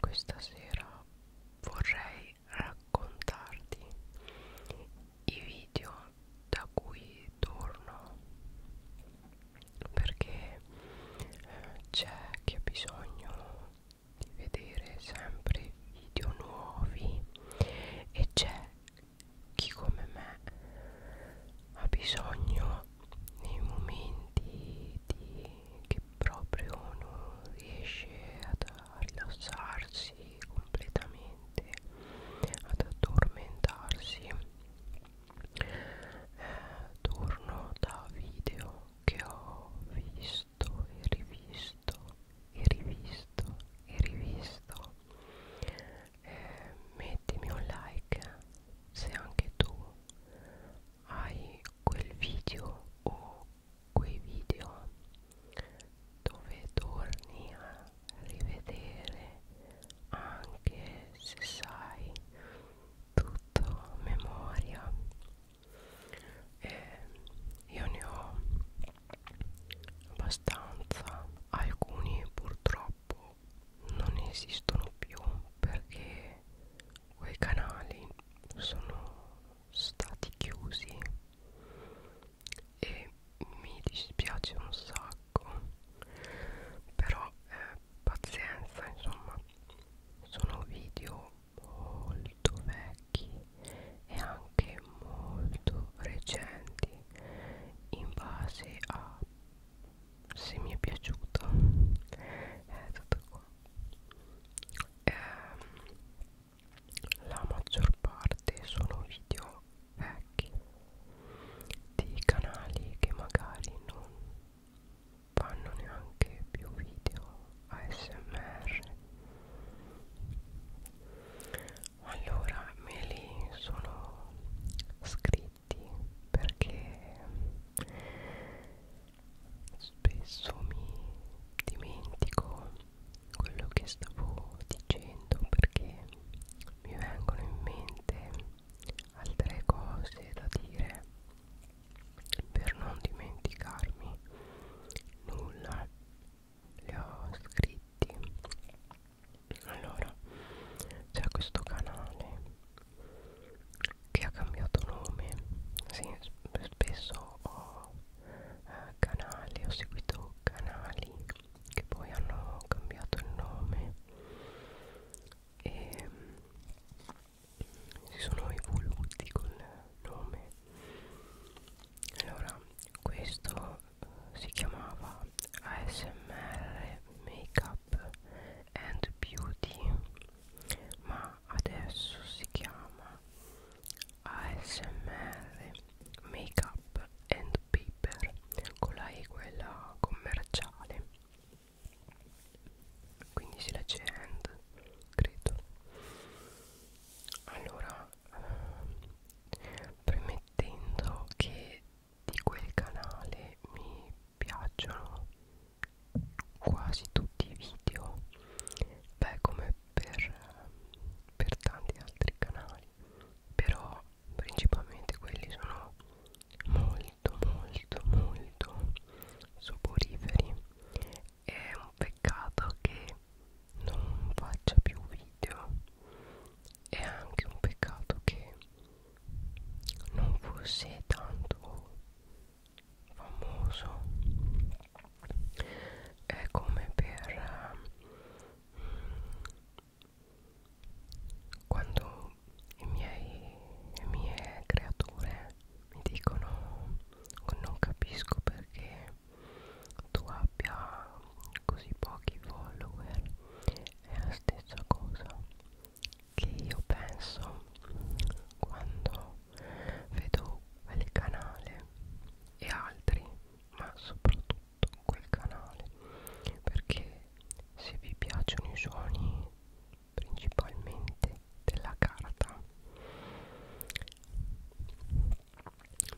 questa sera vorrei raccontarti i video da cui torno perché eh, c'è chi ha bisogno di vedere sempre video nuovi e c'è chi come me ha bisogno nei momenti di, che proprio non riesce ad, a rilassarsi completamente, ad addormentarsi, eh, torno da video che ho visto e rivisto e rivisto e rivisto. Eh, mettimi un like se anche tu hai quel video o quei video dove torni a rivedere anche se sai tutto a memoria e io ne ho abbastanza alcuni purtroppo non esistono più perché quei canali sono stati chiusi e mi dispiace un sacco però eh, pazienza insomma sono video molto vecchi e anche molto recenti in base a se mi è piaciuto è tutto qua ehm, la maggior parte sono video vecchi di canali che magari non fanno neanche più video ASMR allora me li sono scritti letti perché spesso mi dimentico quello che stavo dicendo perché mi vengono in mente altre cose da dire per non dimenticarmi nulla le ho scritti allora c'è questo canale che ha cambiato nome sì, spesso ho eh, canali ho seguito canali che poi hanno cambiato il nome e ehm, si sono evoluti col nome allora questo eh, si chiamava ASMR Make Makeup and Beauty ma adesso si chiama ASMR Makeup and Paper con la E quella commerciale quindi si legge hand credo allora premettendo che di quel canale mi piacciono quasi tutti i video beh come per, per tanti altri canali però principalmente quelli sono molto molto molto soporiferi è un peccato che non faccia più video è anche un peccato che non fosse tanto famoso è come per mm, quando i miei, le mie creature mi dicono non capisco perché tu abbia così pochi follower è la stessa cosa che io penso quando vedo quel canale e altri ma soprattutto quel canale perché se vi piacciono i suoni principalmente della carta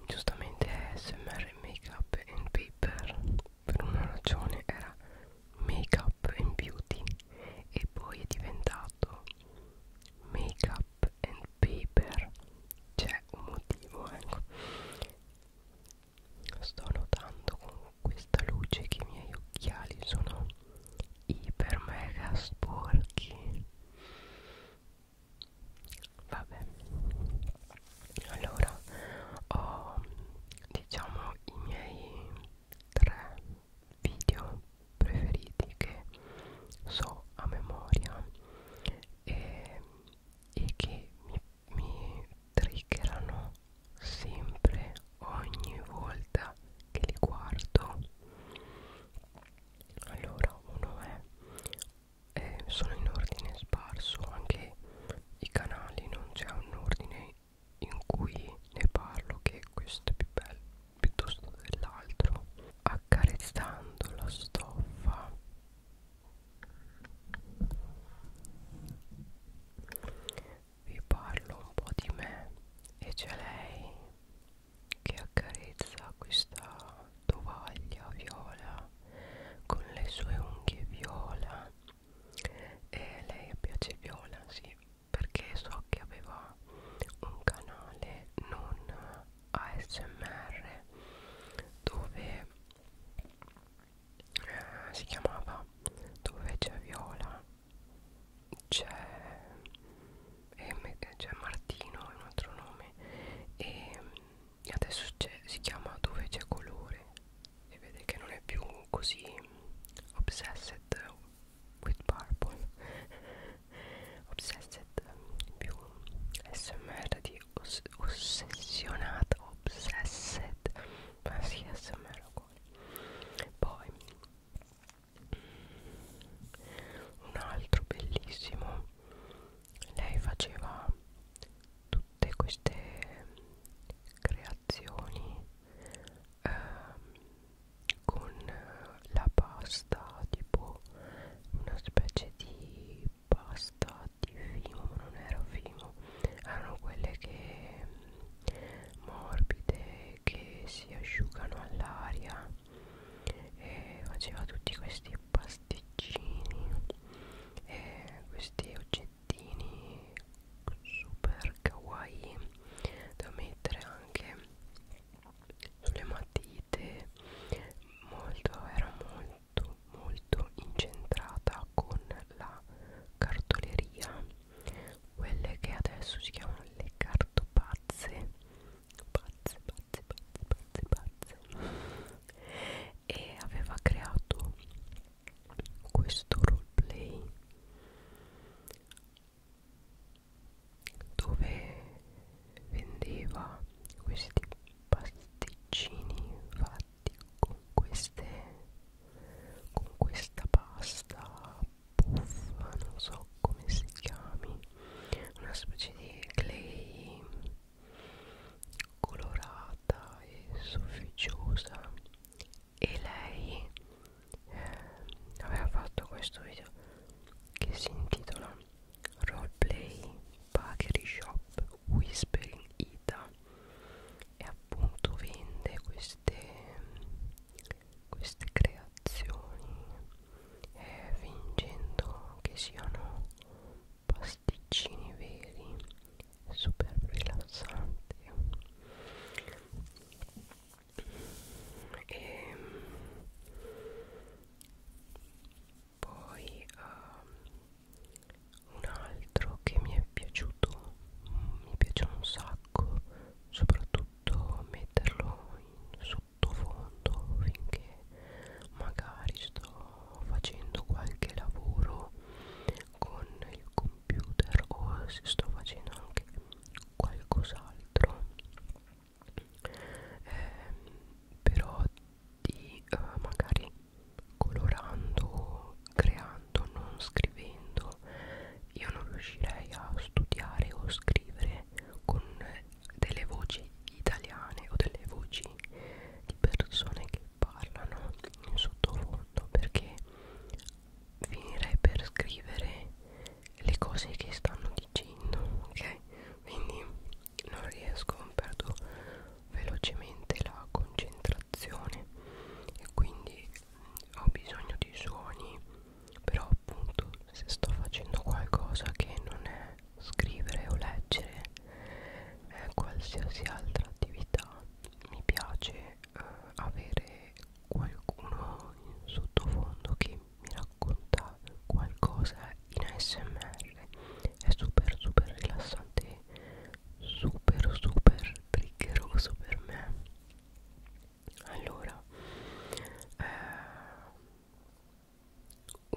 giustamente smr make up and paper per una ragione era make up and beauty e poi è diventato make up and paper c'è un motivo ecco sto notando con questa luce che i miei occhiali sono iper mega sporchi vabbè allora ho diciamo i miei tre video preferiti che so a memoria e, e che mi, mi triggerano sempre ogni volta che li guardo allora uno è eh, sono in ordine sparso anche i canali non c'è un ordine in cui ne parlo che questo è più bello piuttosto dell'altro accarezzando la stoffa vi parlo un po' di me e c'è lei che accarezza questa tovaglia viola con le sue unghie viola e lei piace viola, sì perché so che aveva un canale non ASMR dove eh, si chiamava dove c'è Viola c'è Martino è un altro nome e adesso si chiama dove c'è colore e vede che non è più così obsessed with purple obsessed mm, più smr di os ossessionata obsessed ma si sì, smr uguale poi mm, un altro bellissimo lei faceva tutte queste creazioni eh, con la pasta tipo una specie di pasta di fimo non era fimo erano quelle che mm, morbide che si asciugano all'aria e faceva tutti questi pasticcini e questi oggetti magliettini super kawaii da mettere anche sulle matite molto, era molto molto incentrata con la cartoleria quelle che adesso si chiamano le cartopazze pazze pazze pazze pazze pazze e aveva creato questo roleplay dove vendeva questi pasticcini fatti con queste con questa pasta puffa non so come si chiami una specie di clay colorata e sofficiosa e lei eh, aveva fatto questo video che si intitola Roleplay Bakery Shop Whispering Ita e appunto vende queste, queste creazioni eh, fingendo che siano pasticcini veri super rilassanti e ehm, poi uh, un altro che mi è piaciuto mi piace un sacco soprattutto metterlo in sottofondo finché magari sto facendo qualche lavoro con il computer o se sto facendo anche qualcos'altro eh, però di eh, magari colorando creando non scrivendo io non riuscirei a studiare o scrivere con delle voci italiane o delle voci di persone che parlano in sottofondo perché finirei per scrivere le cose che stanno dicendo ok quindi non riesco perdo velocemente la concentrazione e quindi ho bisogno di suoni però appunto se sto facendo qualcosa che non è scrivere o leggere è eh, qualsiasi altra attività mi piace eh, avere qualcuno in sottofondo che mi racconta qualcosa in ASMR è super super rilassante super super triggeroso per me allora eh,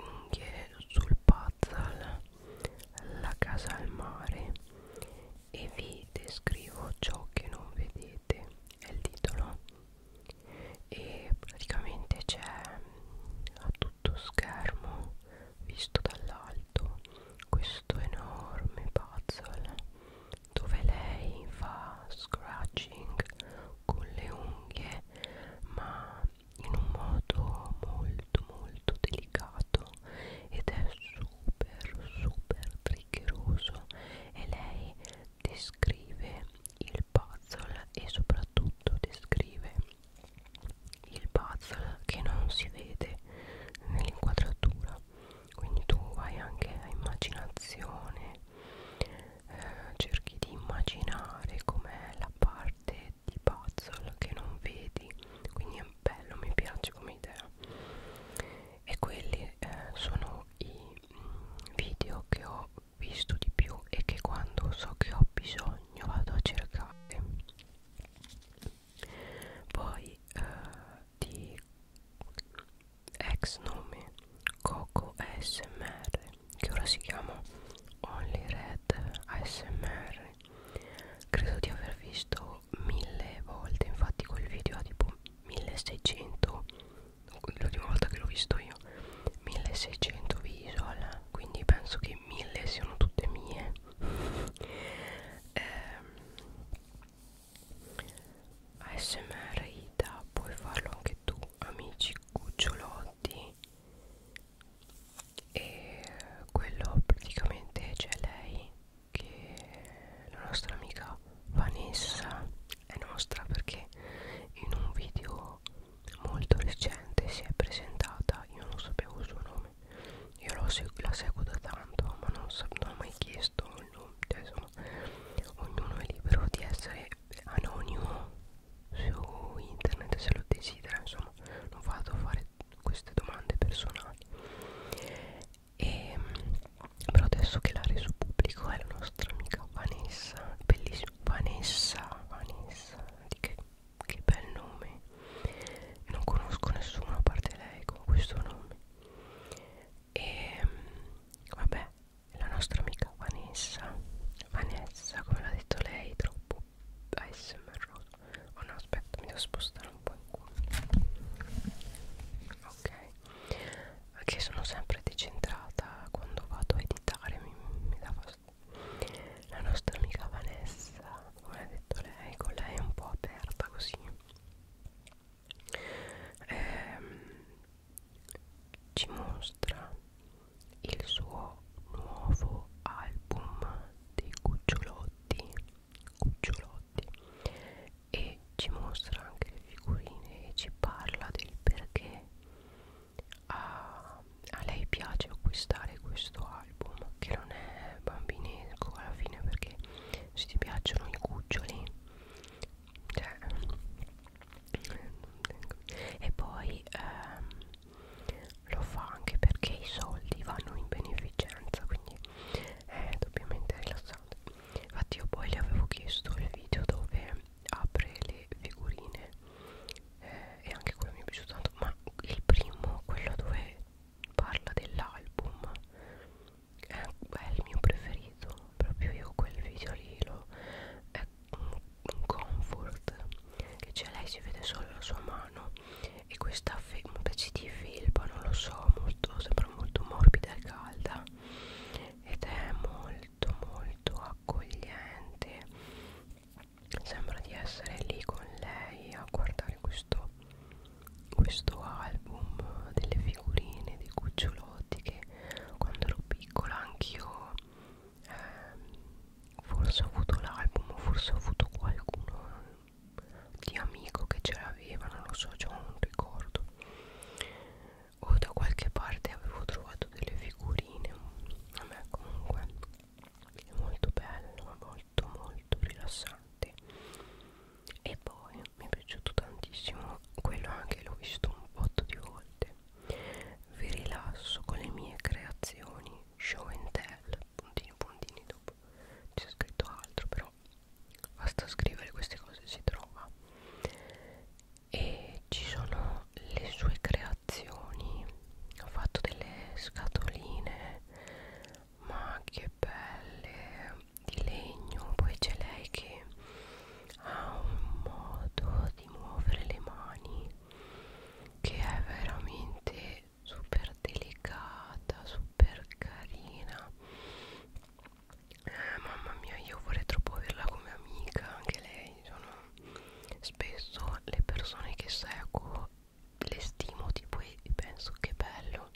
unghie sul puzzle la casa al mare e vi descrivo ciò che non vedete è il titolo e praticamente c'è mm, a tutto schermo visto dall'alto questo enorme puzzle dove lei fa scratching con le unghie ma in un modo molto molto delicato ed è su super super triggeroso e lei descrive il puzzle e soprattutto descrive il puzzle che non si vede nell'inquadratura quindi tu vai anche a immaginazione eh, cerchi di immaginare com'è la parte di puzzle che non vedi quindi è bello mi piace come idea e quelli eh, sono i mm, video che ho visto di più e che quando so che ho bisogno vado a cercare poi eh, di ex nome Coco ASMR che ora si chiama Only Red ASMR credo di aver visto visto mille volte infatti quel video ha tipo 1600 l'ultima volta che l'ho visto io 1600 visual quindi penso che 1000 siano tutte mie eh, ASMR Ida puoi farlo anche tu amici cucciolotti e quello praticamente c'è lei che la nostra amica Vanessa è nostra perché in un video molto recente si è presentata, io non sapevo il suo nome, io seg la seguo da tanto ma non, non ho mai chiesto il nome, cioè, insomma ognuno è libero di essere anonimo su internet se lo desidera, insomma non vado a fare queste domande personali e, però adesso che l'ha reso pubblico è la nostra amica Vanessa bellissima Vanessa Vanessa di che, che bel nome non conosco nessuno a parte lei con questo nome e vabbè la nostra amica Vanessa Vanessa come l'ha detto lei troppo ASMR oh no aspetta mi devo spostare un po' in qua ok perché sono sempre decentrata quando vado a editare mi, mi dà fastidio la nostra amica Vanessa come ha detto lei con lei è un po' aperta così ehm, ci mostra il suo nuovo album dei cucciolotti cucciolotti e ci mostra anche le figurine e ci parla del perché a, a lei piace acquistare questo album che non è bambinesco alla fine perché se ti piacciono i cuccioli cioè, e poi ehm, lo fa anche perché i soldi vanno in beneficenza quindi è eh, doppiamente rilassante infatti io poi gli avevo chiesto il video dove apre le figurine eh, e anche quello mi è piaciuto tanto ma il primo quello dove parla dell'album è, è il mio preferito proprio io quel video lì lo, è un, un comfort che c'è lei si vede solo la sua mano mano e questa specie di felpa non lo so molto, sembra molto morbida e calda ed è molto molto accogliente sembra di essere lì con lei a guardare questo, questo album delle figurine dei cucciolotti che quando ero piccola anch'io eh, forse ho avuto l'album forse ho avuto qualcuno di amico che ce l'aveva, non lo so, già non ricordo o da qualche parte avevo trovato delle figurine a me comunque è molto bello, molto molto rilassante e poi mi è piaciuto tantissimo quello anche l'ho visto un botto di volte vi rilasso con le mie creazioni show and tell puntini puntini dopo c'è scritto altro però però basta scrivere queste cose si trova e ci sono le sue creazioni ho fatto delle scatoline ma che belle di legno poi c'è lei che ha un modo di muovere le mani che è veramente comunque super delicata super carina eh, mamma mia io vorrei troppo averla come amica anche lei sono spesso le persone che seguo le stimo tipo e penso che bello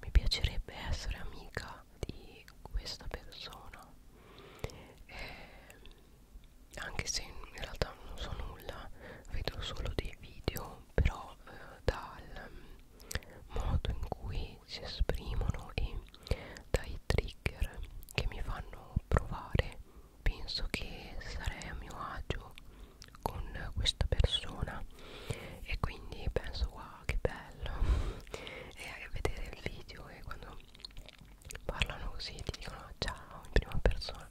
mi piacerebbe essere amica di questa persona eh, anche se in realtà non so nulla vedo solo dei video però eh, dal modo in cui si esprimono e dai trigger che mi fanno provare penso che sarei a mio agio con questa persona e quindi penso wow che bello e vedere il video e quando parlano così ti dicono ciao in prima persona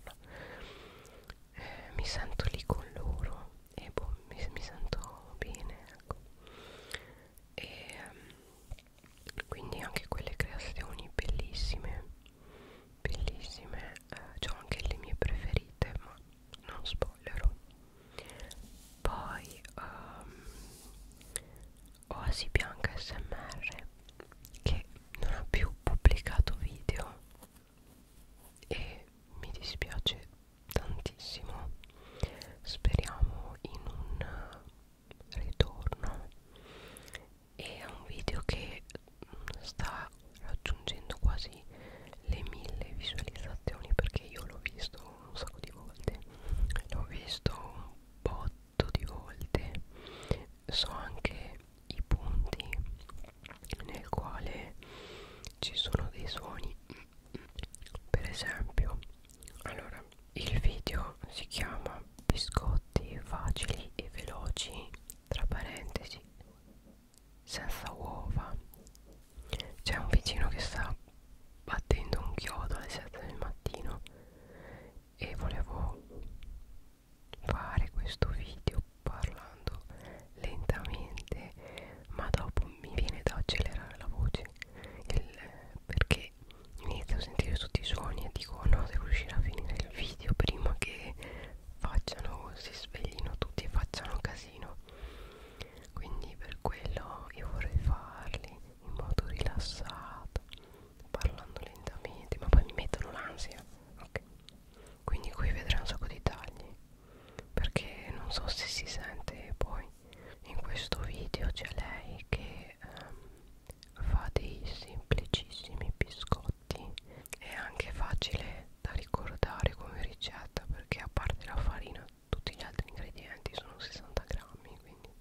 eh, mi sento lì con loro e boh, mi, mi sento bene ecco e ehm, quindi anche quelle creazioni bellissime bellissime eh, ho anche le mie preferite ma non spoilerò poi um, Oasi Bianca SMR che non ha più pubblicato video e mi dispiace tantissimo speriamo in un ritorno e è un video che sta raggiungendo quasi le mille visualizzazioni perché io l'ho visto un sacco di volte l'ho visto un botto di volte so anche i punti nel quale ci sono dei suoni per esempio allora il video si chiama biscotti facili e veloci tra parentesi senza uova c'è un vicino che sta battendo un chiodo alle 7 del mattino e volevo fare questo video parlando lentamente ma dopo mi viene da accelerare la voce il, perché inizio a sentire tutti i suoni e dico oh no devo riuscire a finire il video prima che facciano si sveglino tutti e facciano casino quindi per quello io vorrei farli in modo rilassato parlando lentamente ma poi mi mettono l'ansia ok quindi qui vedrai un sacco di tagli perché non so se si sente poi in questo video c'è lei che ehm, fa dei semplicissimi biscotti è anche facile da ricordare come ricetta perché a parte la farina tutti gli altri ingredienti sono 60 grammi quindi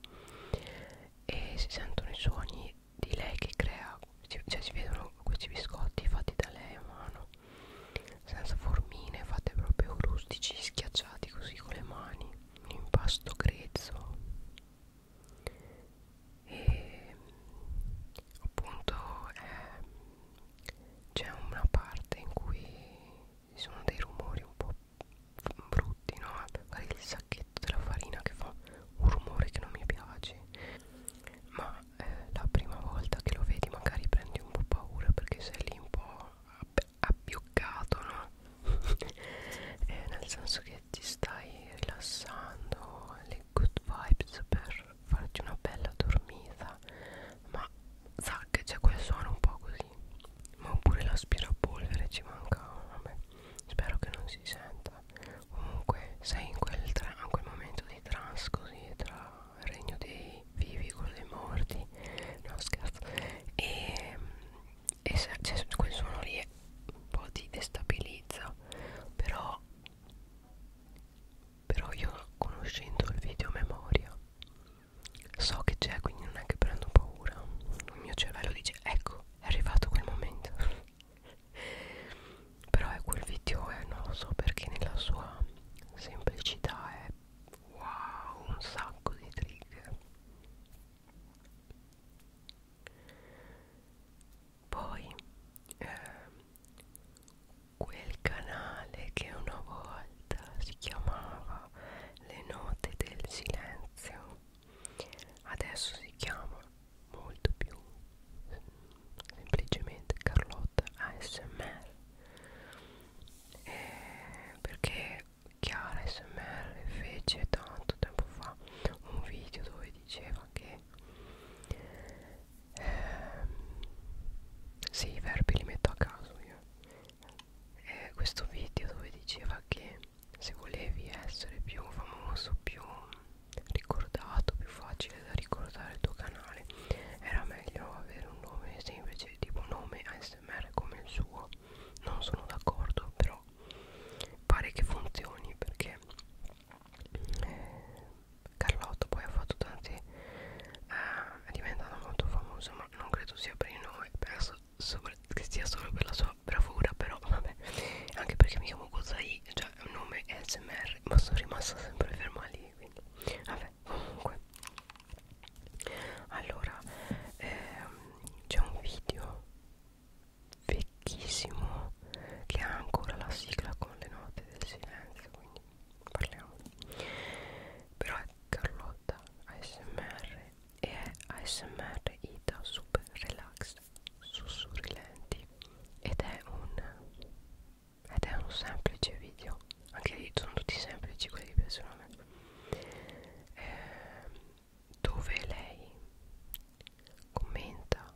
e si sentono i suoni di lei che crea si, cioè si vedono questi biscotti fatti da lei a mano senza formine fate proprio rustici schiacciati così con le mani un impasto grezzo e appunto eh, c'è una parte in cui ci sono dei rumori un po' brutti no? magari il sacchetto della farina che fa un rumore che non mi piace ma ma eh, la prima volta che lo vedi magari prendi un po' paura perché sei lì un po' abbioccato, no? eh, nel senso che ti stai rilassando, le good vibes per farti una bella dormita, ma zac c'è quel suono un po' così, ma oppure l'aspirapolvere ci manca, vabbè, spero che non si senta. Comunque sei in quel, in quel momento di trans così tra regno dei vivi, quello dei morti no scherzo e, e se, cioè, quel suono lì è, un po' ti destabilizza però però io conoscendo il video memoria so che c'è quindi non è che prendo paura il mio cervello dice ecco è arrivato quel momento però è quel video è eh, noso perché nella sua semplicità è wow un sacco di trigger poi eh, quel canale che una volta si chiamava le note del silenzio adesso si chiama molto più semplicemente Carlotta ASMR eh, perché Chiara ASMR fece tanto tempo fa un video dove diceva che eh, sì i verbi li metto a caso io eh, questo video dove diceva che se volevi essere più famoso più ricordato, più facile da ricordare il tuo canale. Era meglio avere un nome semplice, tipo un nome ASMR come il suo. Non sono d'accordo, però pare che funzioni perché eh, Carlotta poi ha fatto tanti. Eh, è diventata molto famosa, ma non credo sia per il nome, penso sopra, che sia solo per la sua bravura, però vabbè, anche perché mi chiamo Gozai, cioè è un nome SMR, ma sono rimasta sempre ferma lì così quindi vabbè comunque allora ehm, c'è un video vecchissimo che ha ancora la sigla con le note del silenzio quindi parliamo però è Carlotta ASMR e è ASMR Ida Super Relax sussurrilenti ed è un ed è un semplice video anche lì sono tutti semplici quelli che piacciono a me eh, dove lei commenta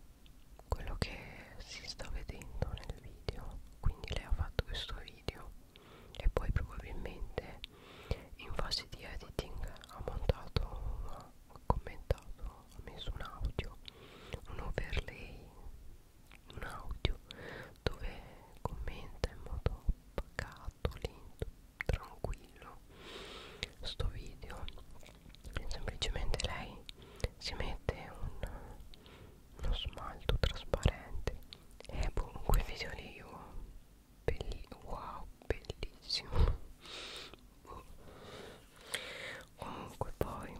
quello che si sta vedendo nel video quindi lei ha fatto questo video e poi probabilmente in fase di editing ha montato ha commentato ha messo un audio un overlay un audio dove commenta in modo pacato, lento, tranquillo sto video semplicemente lei si mette un, uno smalto trasparente e boh, quel video lì io oh, belli, wow bellissimo boh comunque poi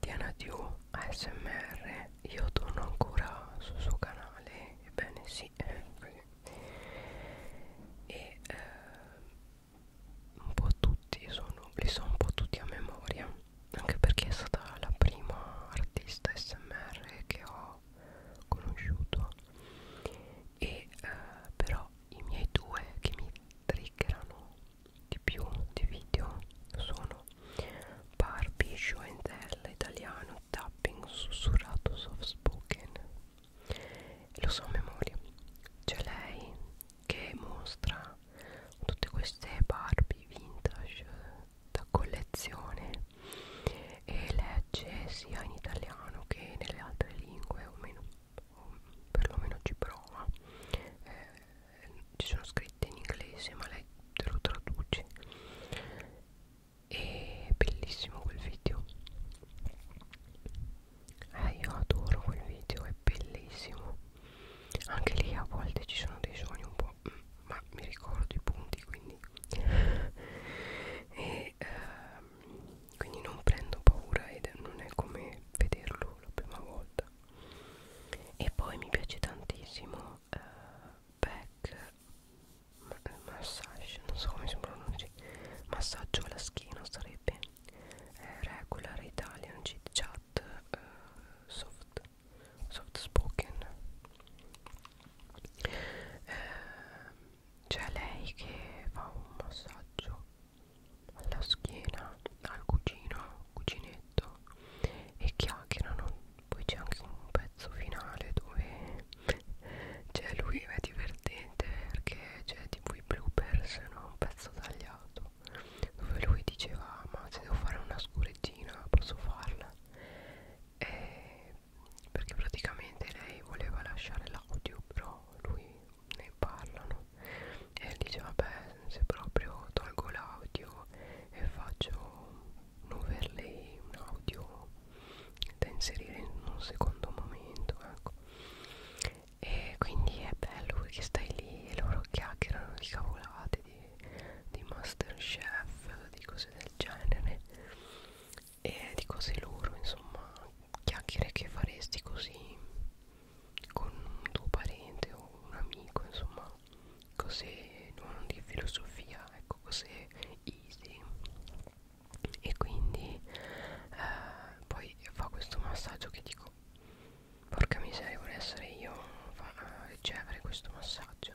Diana Dio ASMR io torno ancora sul suo canale ebbene sì eh, così. e eh, un po' tutti sono li so un po' tutti a memoria anche perché è stata la prima artista smr che ho conosciuto e eh, però i miei due che mi triggerano di più di video sono Barbie Show and Tell italiano tapping sussurrato soft spoken lo so a memoria c'è lei che mostra tutte queste Barbie vintage da collezione e legge sia in italiano che nelle altre lingue o meno o perlomeno ci prova eh, ci sono scritte in inglese ma lei te lo traduce è bellissimo quel video eh, io adoro quel video è bellissimo anche lì a volte ci sono dei sogni un po' mm, ma mi ricordo i punti quindi e e ehm, quindi non prendo paura ed non è come vederlo la prima volta e poi mi piace tantissimo eh, back massage non so come si pronuncia massaggio alla schiena sarebbe eh, regular italian chit chat eh, soft soft spoken eh, c'è lei che fa un massaggio alla schiena al cugino, cuginetto e chiacchierano. Poi c'è anche un pezzo finale dove cioè lui è divertente perché c'è tipo i bloopers, no? un pezzo tagliato dove lui diceva ma se devo fare una scuregina posso farla e perché praticamente lei voleva lasciare l'audio però lui ne parlano e dice vabbè se proprio tolgo l'audio e faccio un overlay un audio da inserire in un secondo momento ecco e quindi è bello perché stai lì e loro chiacchierano di cavolate di, di masterchef di cose del genere e di cose loro insomma chiacchiere che faresti così con un tuo parente o un amico insomma cose non di filosofia ecco cose easy e quindi eh, poi fa questo massaggio che dico porca miseria vorrei essere io a ricevere questo massaggio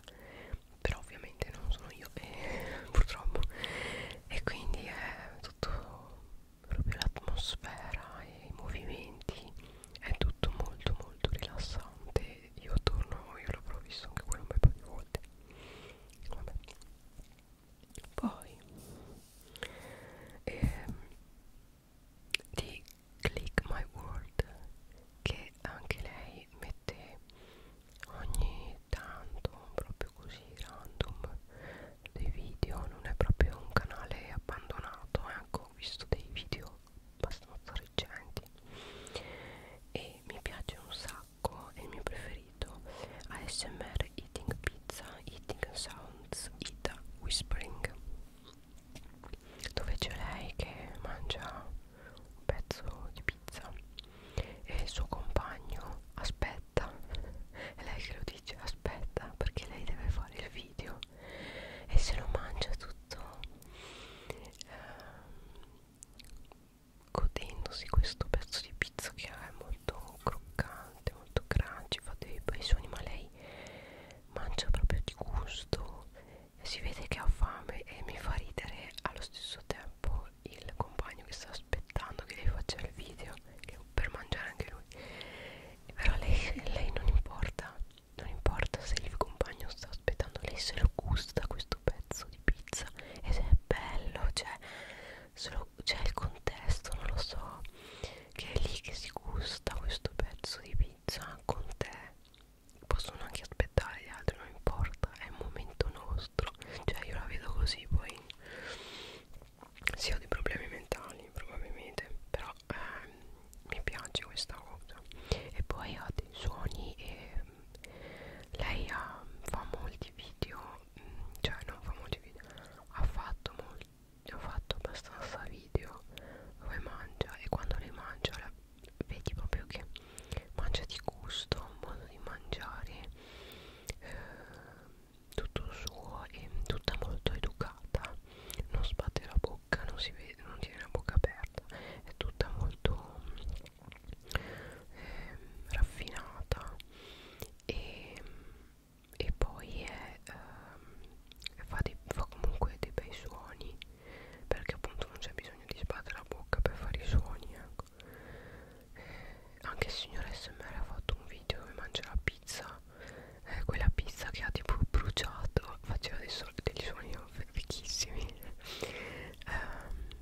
però ovviamente non sono io eh, purtroppo e quindi è tutto proprio l'atmosfera e i movimenti è tutto molto molto rilassante io torno io l'avrò visto anche quello un bel po' di volte Vabbè. poi ehm, di Click My World che anche lei mette ogni ogni tanto proprio così random dei video non è proprio un canale abbandonato eh. ecco ho visto dei video abbastanza recenti e mi piace un sacco è il mio preferito ASMR Eating Pizza Eating Sounds Ita Whispering dove c'è lei che mangia un pezzo di pizza e il suo compagno aspetta aspetta è lei che lo dice aspetta perché lei deve fare il video e se lo mangia tutto eh, godendosi questo pezzo di pizza che è molto croccante molto crunchy fa dei bei suoni ma lei mangia proprio di gusto si vede che ha fame e mi fa ridere allo stesso tempo o il compagno che sta aspettando che lei faccia il video che per mangiare anche lui però lei, lei non importa non importa se il compagno sta aspettando lei se lo gusta questo pezzo di pizza ed è bello cioè c'è il contesto non lo so che è lì che si gusta questo pezzo di pizza con te possono anche aspettare gli altri non importa è il momento nostro cioè io la vedo così poi si ho dei problemi mentali probabilmente però ehm, mi piace questa cosa e poi ha dei suoni e mm, lei ha, fa molti video mm, cioè non fa molti video ha fatto molti ho fatto abbastanza video dove mangia e quando lei mangia la, vedi proprio che mangia di gusto, un modo di mangiare eh, tutto suo e tutta molto educata non sbatte la bocca non si vede non tiene la bocca aperta è tutta molto eh, raffinata e, e poi è, eh, fa, dei, fa comunque dei bei suoni perché appunto non c'è bisogno di sbattere la bocca per fare i suoni ecco eh, anche il signor smr ha fatto un video dove mangia la pizza eh, quella pizza che ha tipo bruciato faceva dei, so dei suoni fichissimi eh,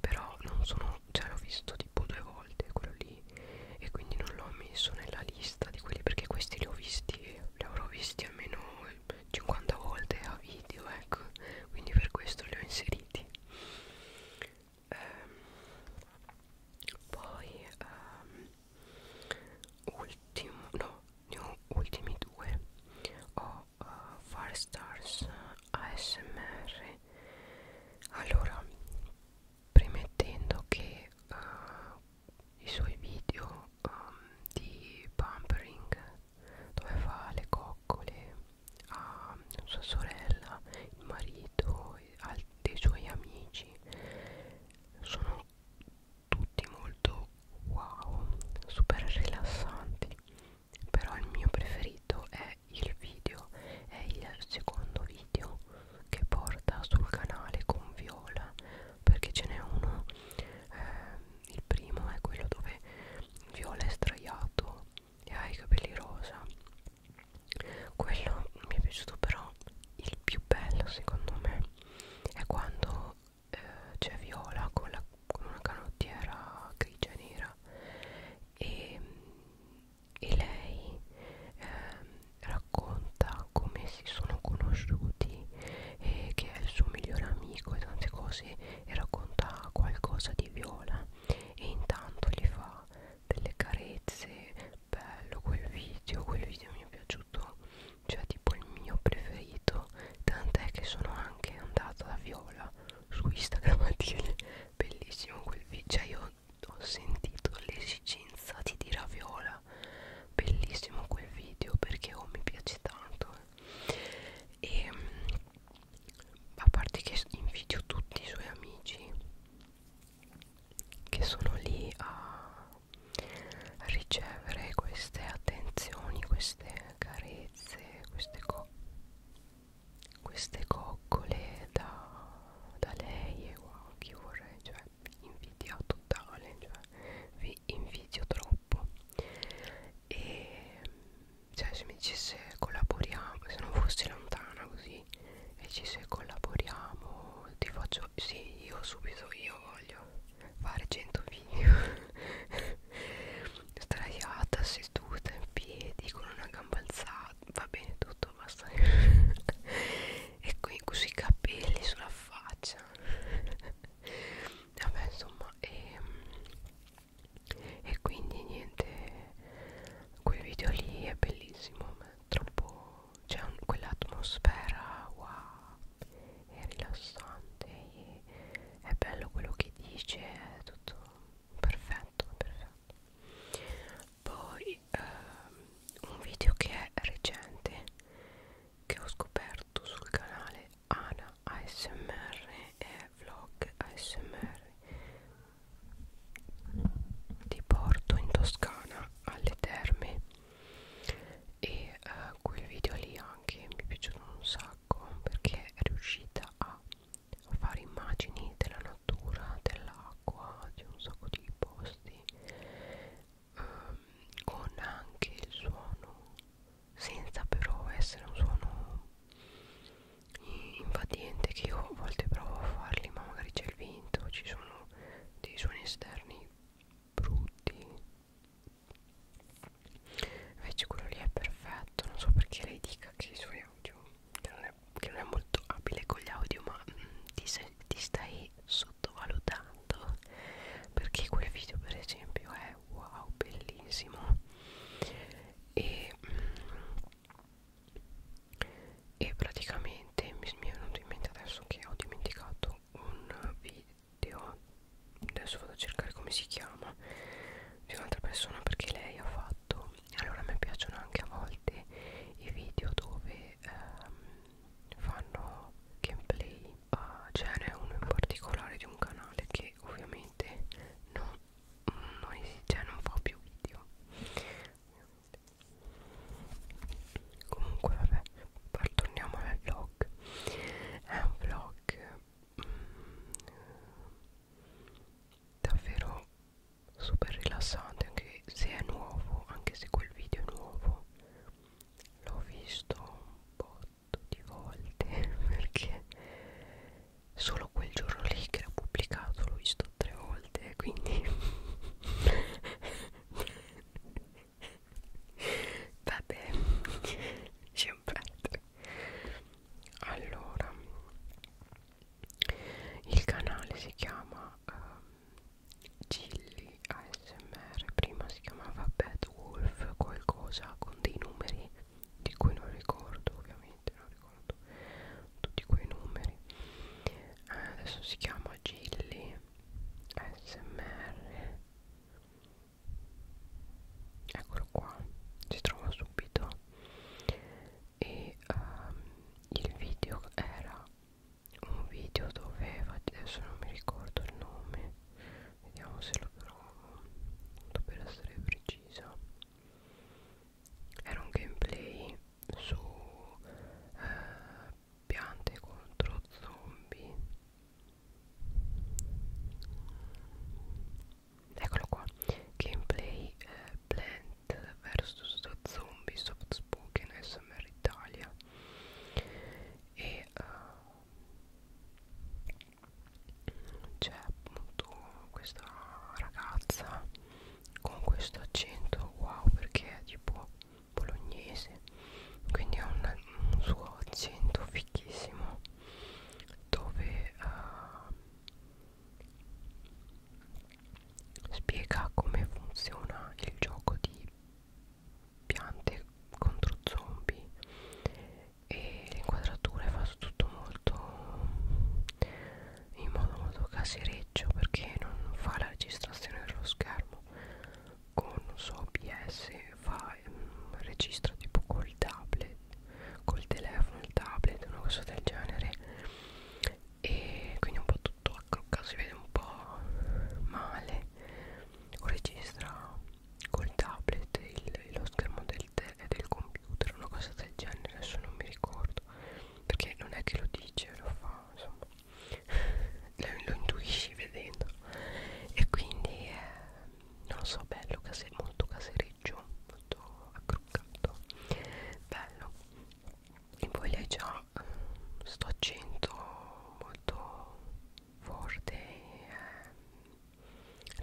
però non sono cioè l'ho visto tipo due volte quello lì e quindi non l'ho messo nella lista di quelli perché questi li ho visti li avrò visti almeno 50 volte a video ecco quindi per questo li ho inseriti ehm, poi ehm, ultimo no ne ho ultimi due ho uh, eh, Firestars ASMR allora premettendo che uh, i suoi video um, di pampering dove fa le coccole a sua sorella, il marito e al, dei suoi amici sono tutti molto wow, super rilassanti però il mio preferito è il video è il secondo video che porta sul canale con Viola perché ce n'è uno eh, il primo è quello dove Viola è sdraiato e ha i capelli rosa quello mi è piaciuto però il più bello secondo me è quando eh, c'è Viola con, la, con una canottiera grigia nera e, e lei eh, racconta come si sono conosciuti e che è il suo migliore amico e tante cose e racconta qualcosa di Viola e intanto gli fa delle carezze bello quel video quel video mi è piaciuto cioè tipo il mio preferito tant'è che sono anche andata da Viola su Instagram a dire bellissimo quel video cioè io ho sentito l'esigenza di dire a Viola bellissimo quel video perché oh mi piace tanto e eh. ehm, a parte che invidio tutti i suoi amici che sono lì a ricevere queste attenzioni, queste carezze, queste, co queste coccole da, da lei e wow, chi vorrei, cioè invidia totale, cioè vi invidio troppo e cioè se mi dicesse collaboriamo se non fosse lontana così e dicesse collaboriamo ti faccio sì io subito io voglio fare 100 video straiata seduta in piedi con una gamba alzata va bene tutto basta e qui così capelli sulla faccia vabbè insomma e ehm, e quindi niente quel video lì è bellissimo ma è troppo c'è quell'atmosfera wow è rilassante e è bello quello che dice è tutto perfetto perfetto poi ehm, un video che è recente che ho scoperto sul canale Ana ASMR è vlog ASMR ti porto in Toscana alle terme e uh, quel video lì anche mi è piaciuto un sacco perché è riuscita a fare immagini della natura, dell'acqua, di un sacco di posti um, con anche il suono senza però essere un suono invadente che io a volte provo a farli ma magari c'è il vento ci sono dei suoni esterni brutti invece quello lì è perfetto non so perché lei dica che i suoi audio che non è, che non è molto abile con gli audio ma mm, ti, sei, ti stai sottovalutando perché quel video per esempio è wow bellissimo e mm, e praticamente mi, mi è venuto in mente adesso che ho dimenticato un video adesso vado a cercare come si chiama di un'altra persona perché lei ha fatto allora a me piacciono anche a volte i video dove ehm, fanno gameplay uh, ce n'è uno in particolare di un canale che ovviamente non non esiste, cioè non fa più video comunque vabbè torniamo al vlog è un vlog mm, davvero super rilassante anche se è nuovo anche se quel video è nuovo l'ho visto un po' di volte perché solo quel giorno lì che l'ho pubblicato l'ho visto tre volte quindi vabbè sempre allora il canale si chiama uh, ehm, Gilly ASMR prima si chiamava Bad Wolf qualcosa con dei numeri di cui non ricordo ovviamente non ricordo tutti quei numeri eh, adesso si chiama Gilly smr eccolo qua si trova subito e um, il video era un video dove adesso non mi ricordo il nome vediamo se lo trovo tanto per essere precisa era un gameplay su eh, piante contro zombie eccolo qua gameplay eh, plant vs zombie soft spoken smr italia e uh, c'è appunto questa ragazza con questo accento wow perché è tipo bolognese quindi ha un, un suo accento fichissimo dove uh, spiega come funziona il gioco di piante contro zombie e le inquadrature fa tutto molto in modo molto casereccio perché non fa la registrazione dello schermo con so OBS fa mm, registra tipo col tablet col telefono il tablet una cosa del genere e quindi un po' tutto accroccato si vede un po' male o registra col tablet il, lo schermo del telefono è del computer una cosa del genere adesso non mi ricordo perché non è che lo dice lo fa insomma lo intuisci vedendo e quindi eh, non lo so bello case, molto casereggio molto accroccato bello e poi lei già eh, sto accento molto forte eh,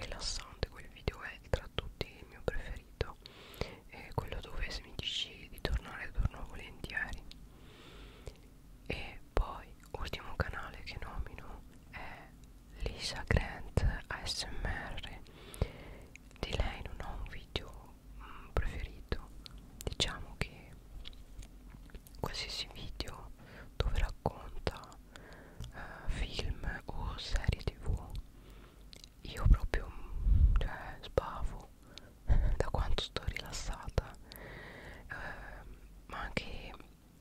rilassante quel video è tra a tutti il mio preferito è quello dove se mi dici di tornare torno volentieri e poi ultimo canale che nomino è Lisa Grant ASMR di lei non ho un video mm, preferito diciamo che qualsiasi video dove racconta eh, film o serie tv io proprio cioè, sbavo da quanto sto rilassata eh, ma anche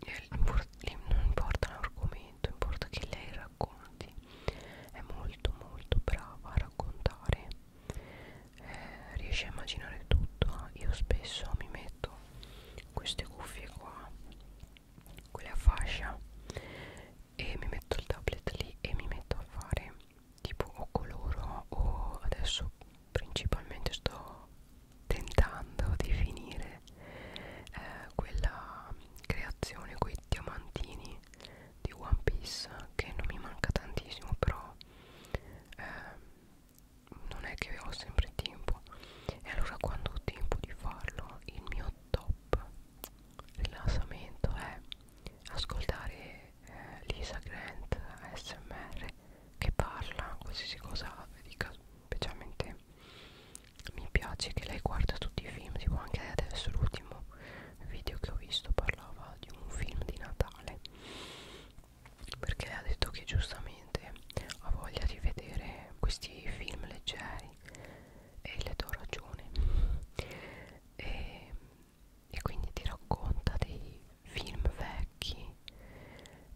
eh, non importa l'argomento importa che lei racconti è molto molto brava a raccontare eh, riesce a immaginare tutto eh. io spesso mi metto queste cuffie qua quelle a fascia e mi metto il tablet lì e mi metto a fare tipo o coloro o adesso principalmente sto tentando di finire eh, quella creazione con i diamantini di One Piece che non mi manca tantissimo però eh, non è che ho sempre tempo e allora quando ho tempo di farlo il mio top rilassamento è ascoltare eh, Lisa Grant ASMR che parla qualsiasi cosa dica specialmente mi piace che lei guarda tutti i film tipo anche adesso l'ultimo video che ho visto parlava di un film di Natale perché ha detto che giustamente ha voglia di vedere questi film leggeri e le do ragione e, e quindi ti racconta dei film vecchi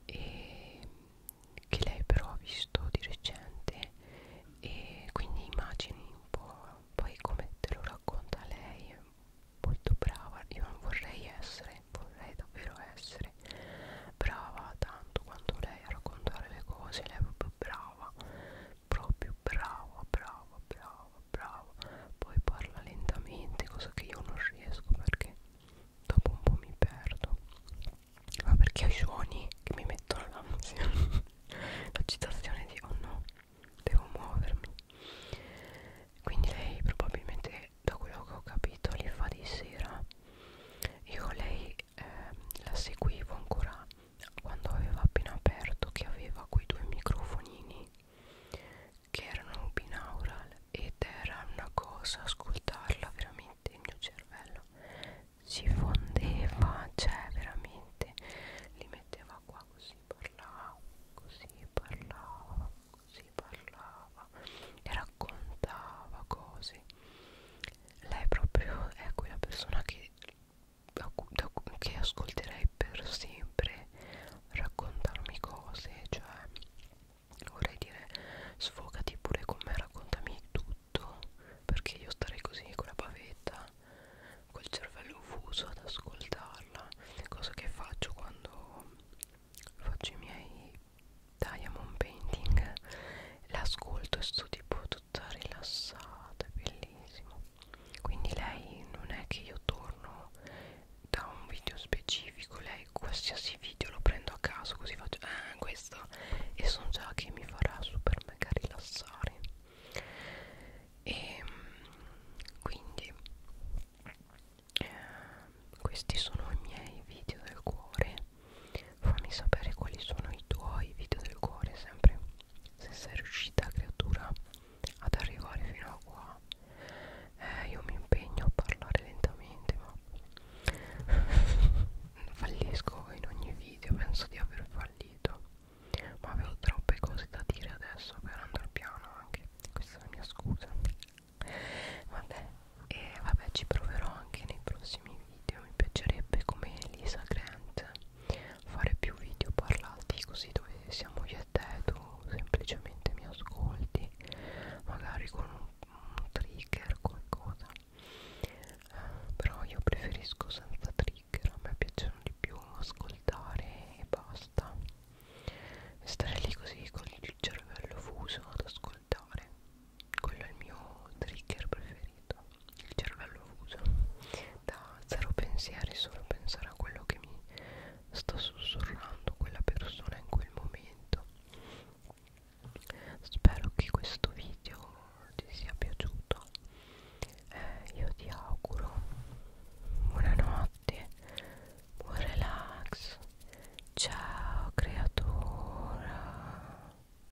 e che lei però ha visto di recente e quindi immagini un po' poi come te lo racconta lei è molto brava io non vorrei essere vorrei davvero essere brava tanto quanto lei a raccontare le cose lei è proprio brava proprio brava brava brava brava poi parla lentamente cosa che io non riesco perché dopo un po' mi perdo ma perché ho i suoni che mi mettono l'ansia l'agitazione di oh no devo muovermi quindi lei probabilmente da quello che ho capito li fa di sera io lei ehm, la seguivo ancora quando aveva appena aperto che aveva quei due microfonini che erano binaural ed era una cosa ascoltarla veramente il mio cervello si fondeva cioè veramente li metteva qua così parlava così parlava così parlava e raccontava cose lei proprio è quella persona che, che ascolterei per sempre raccontarmi cose, cioè vorrei dire sfogati pure con me, raccontami tutto, perché io starei così con la pavetta, col cervello fuso ad ascoltarla, cosa che faccio quando faccio i miei diamond painting l'ascolto e sto tipo tutta rilassata, è bellissimo. Quindi lei non è che io torno da un video specifico, lei qualsiasi video lo prendo a caso così faccio eh, questo e so già che mi farà super mega rilassare. E ehm, quindi eh, questi sono i miei video del cuore fammi sapere quali sono i tuoi video del cuore sempre se sei riuscita creatura ad arrivare fino a qua eh, io mi impegno a parlare lentamente ma fallisco in ogni video penso di aver fallito ma avevo troppe cose da dire adesso per andare piano anche questa è la mia scusa vabbè e vabbè ci proverò anche nei prossimi video mi piacerebbe come Elisa Grant fare più video parlati così dove siamo io e te tu semplicemente mi ascolti magari con un, un trigger qualcosa eh, però io preferisco senza trigger a me piacciono di più ascoltare e basta stare lì così con il cervello fuso ad ascoltare quello è il mio trigger preferito il cervello fuso da zero pensieri solo pensare a quello che mi sta sussurrando quella persona in quel momento spero che questo video ti sia piaciuto eh, io ti auguro buonanotte buon relax ciao creatura